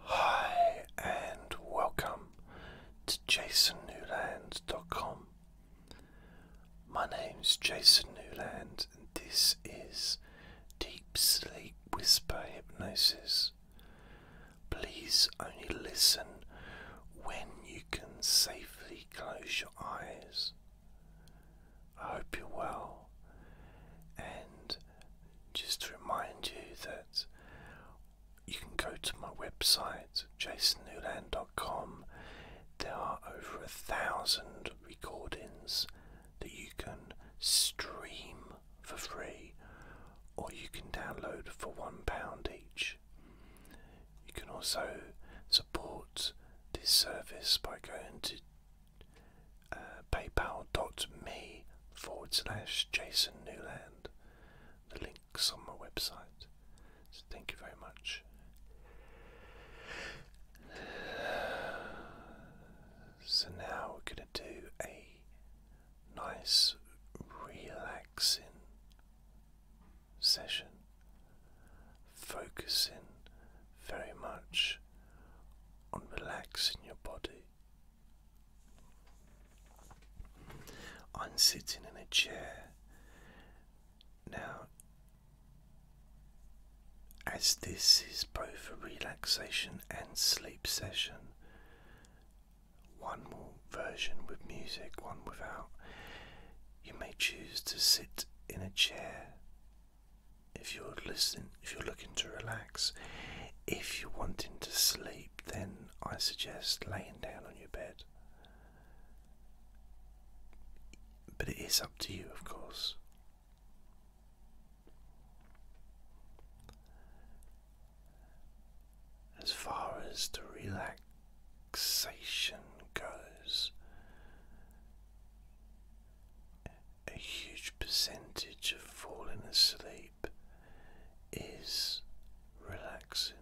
Hi and welcome to JasonNewland.com. My name's Jason Newland and this is Deep Sleep Whisper Hypnosis. Please only listen when you can safely close your eyes. I hope you're well. And just to remind you that you can go to my website, jasonnewland.com. There are over a thousand recordings that you can stream for free or you can download for £1 each. You can also support this service by going to uh, paypal.me forward slash Jason Newland. The link's on my website. So thank you very much. So now we're going to do a nice relaxing session, focusing very much on relaxing your body. I'm sitting in a chair. Now, as this is both a relaxation and sleep session, one more version with music, one without, you may choose to sit in a chair if you're listening, if you're looking to relax, if you're wanting to sleep, then I suggest laying down on your bed. But it is up to you, of course. As far as the relaxation goes, a huge percentage of falling asleep is relaxing.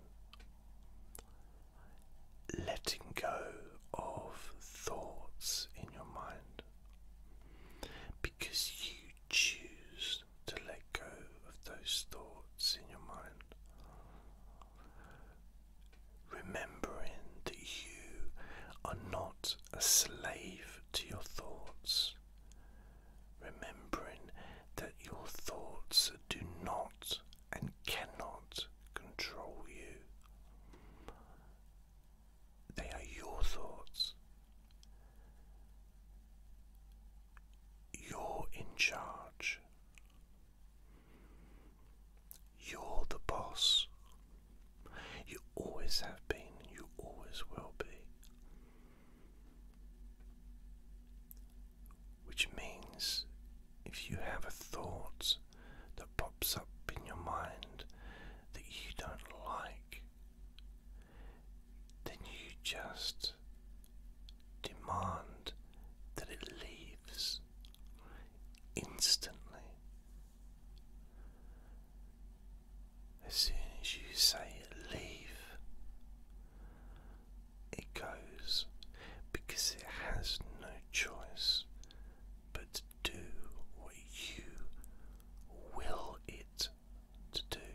Letting go of thoughts in your mind because you choose to let go of those thoughts in your mind remembering that you are not a slave to your thoughts, remembering that your thoughts do not and cannot control you. They are your thoughts. You're in charge. You're the boss. You always have been, and you always will be. Which means if you have a thought that pops up in your mind that you don't like, then you just demand that it leaves instantly. As soon as you say leave, it goes because it has no choice but to do what you will it to do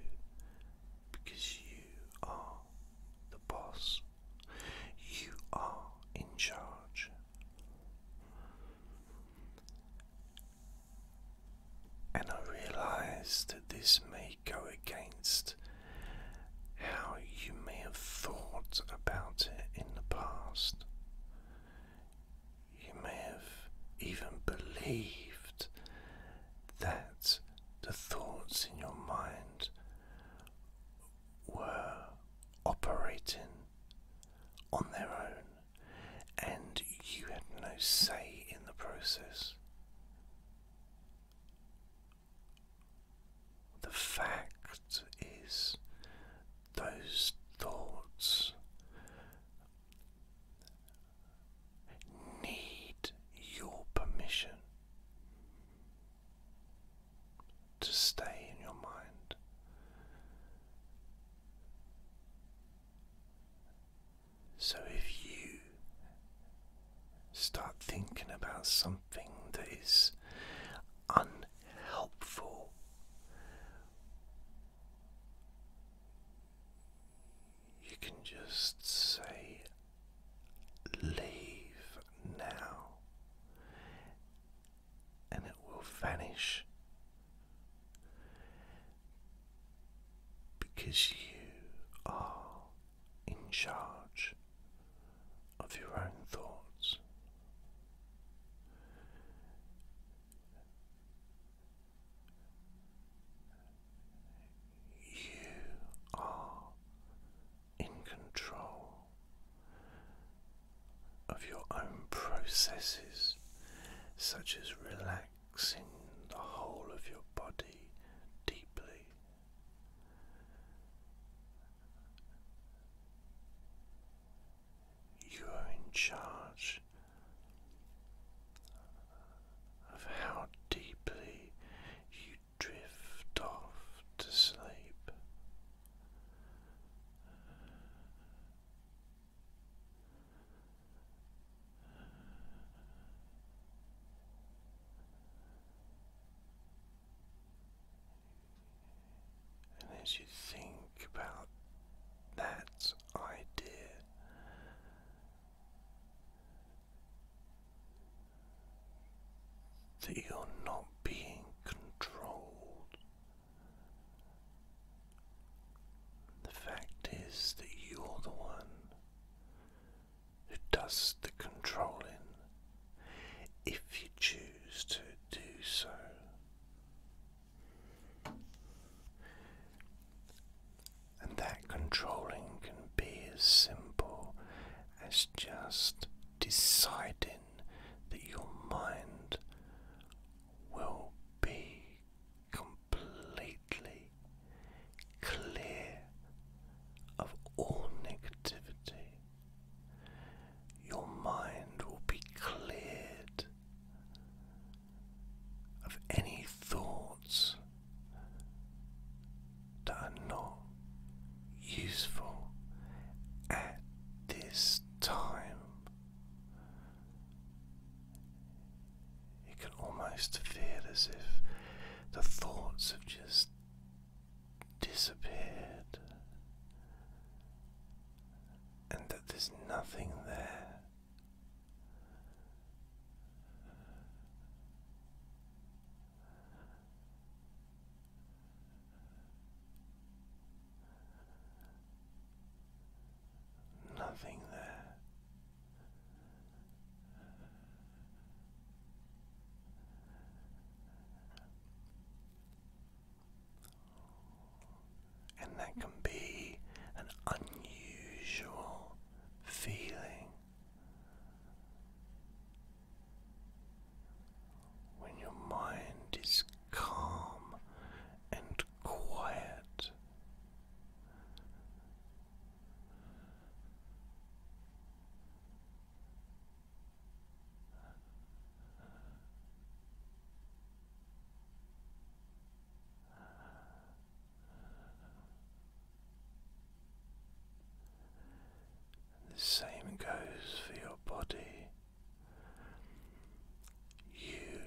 because you are the boss, you are in charge. And I realize that this may go against how you may have thought about it in the past. You may have even believed that the thoughts in your mind were operating on their own and you had no say in the process. The fact is, those thoughts need your permission to stay in your mind. So if you start thinking about something that is unhelpful, you can just say, Leave now and it will vanish because you are in charge of your own thoughts. You are in control of your own processes, such as relaxing the whole of your body deeply. You are in charge of how deeply you drift off to sleep. And as you think about that idea, that you're not being controlled the fact is that you're the one who does the controlling if you choose to do so. And that controlling can be as simple as just deciding that your mind will be completely clear of all negativity. Your mind will be cleared of any thoughts that are not useful at this time. You can almost feel as if the thoughts have just disappeared and that there's nothing there. Nothing there. And that can be an unusual feeling when your mind is calm and quiet. The same goes for your body. You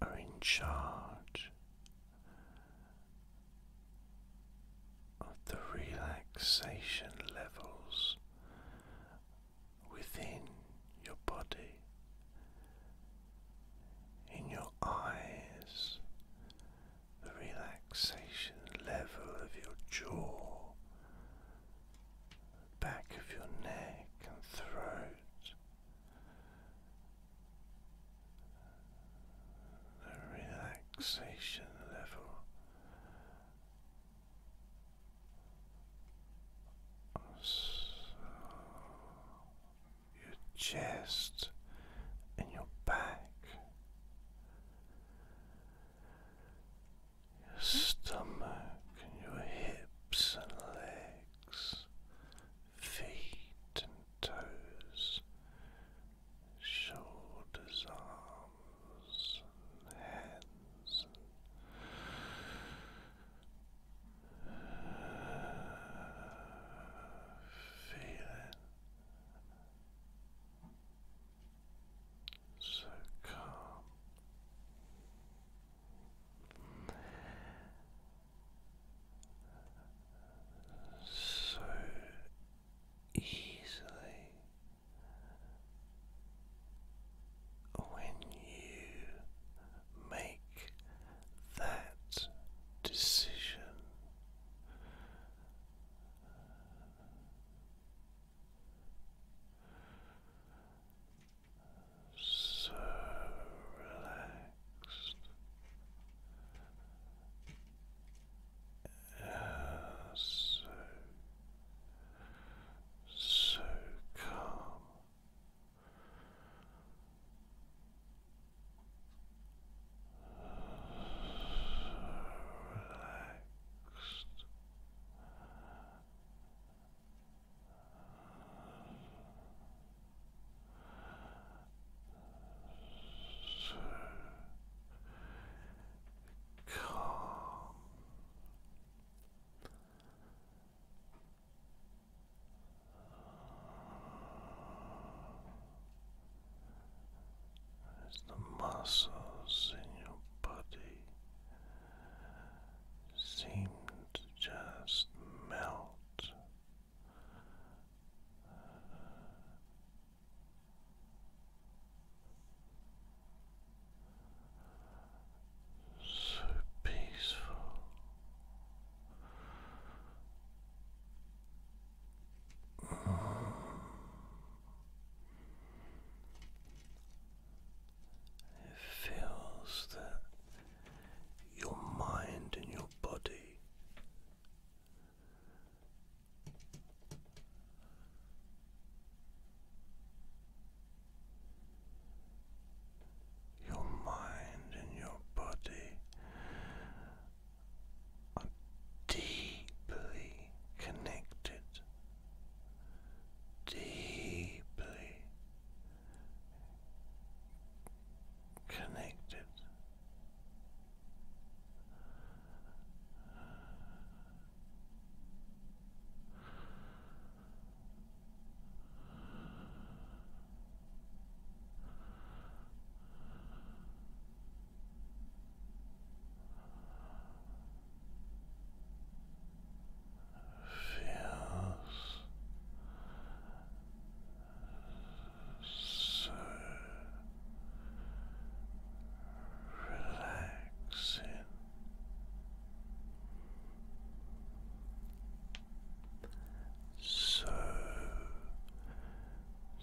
are in charge of the relaxation levels within your body, in your eyes, the relaxation level of your jaw back of your neck and throat. The relaxation level so your chest and your back your stomach your hips and legs, feet and toes, shoulders, arms hands. And Feeling so calm, so easily when you make that decision so relaxed uh, so so calm relaxed so calm. As the muscles in your body seemed to just melt. So peaceful. It feels that your mind and your body your mind and your body are deeply connected deeply connected feels so relaxing. So,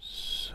so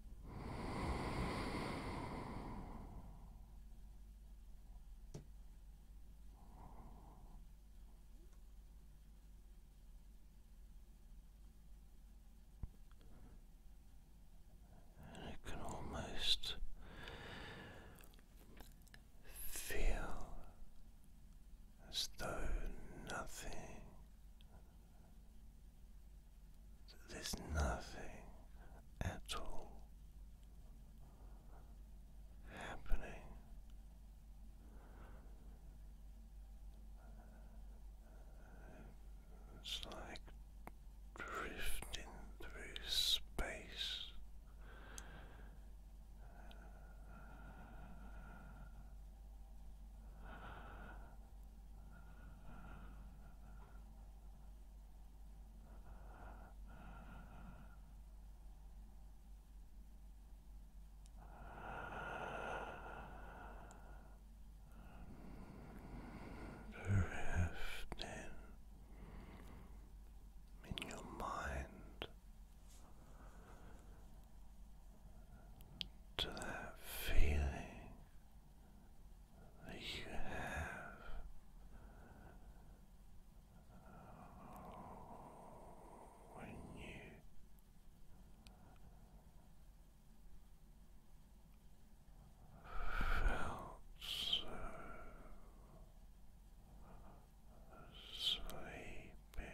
I can almost feel as though nothing there's nothing at all happening. It's like drifting through space. Drifting in your mind to that feeling that you have when you felt so sleepy.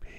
be. Sleepy.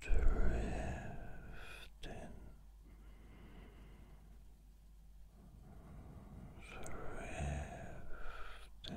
drifting, drifting. Sleep.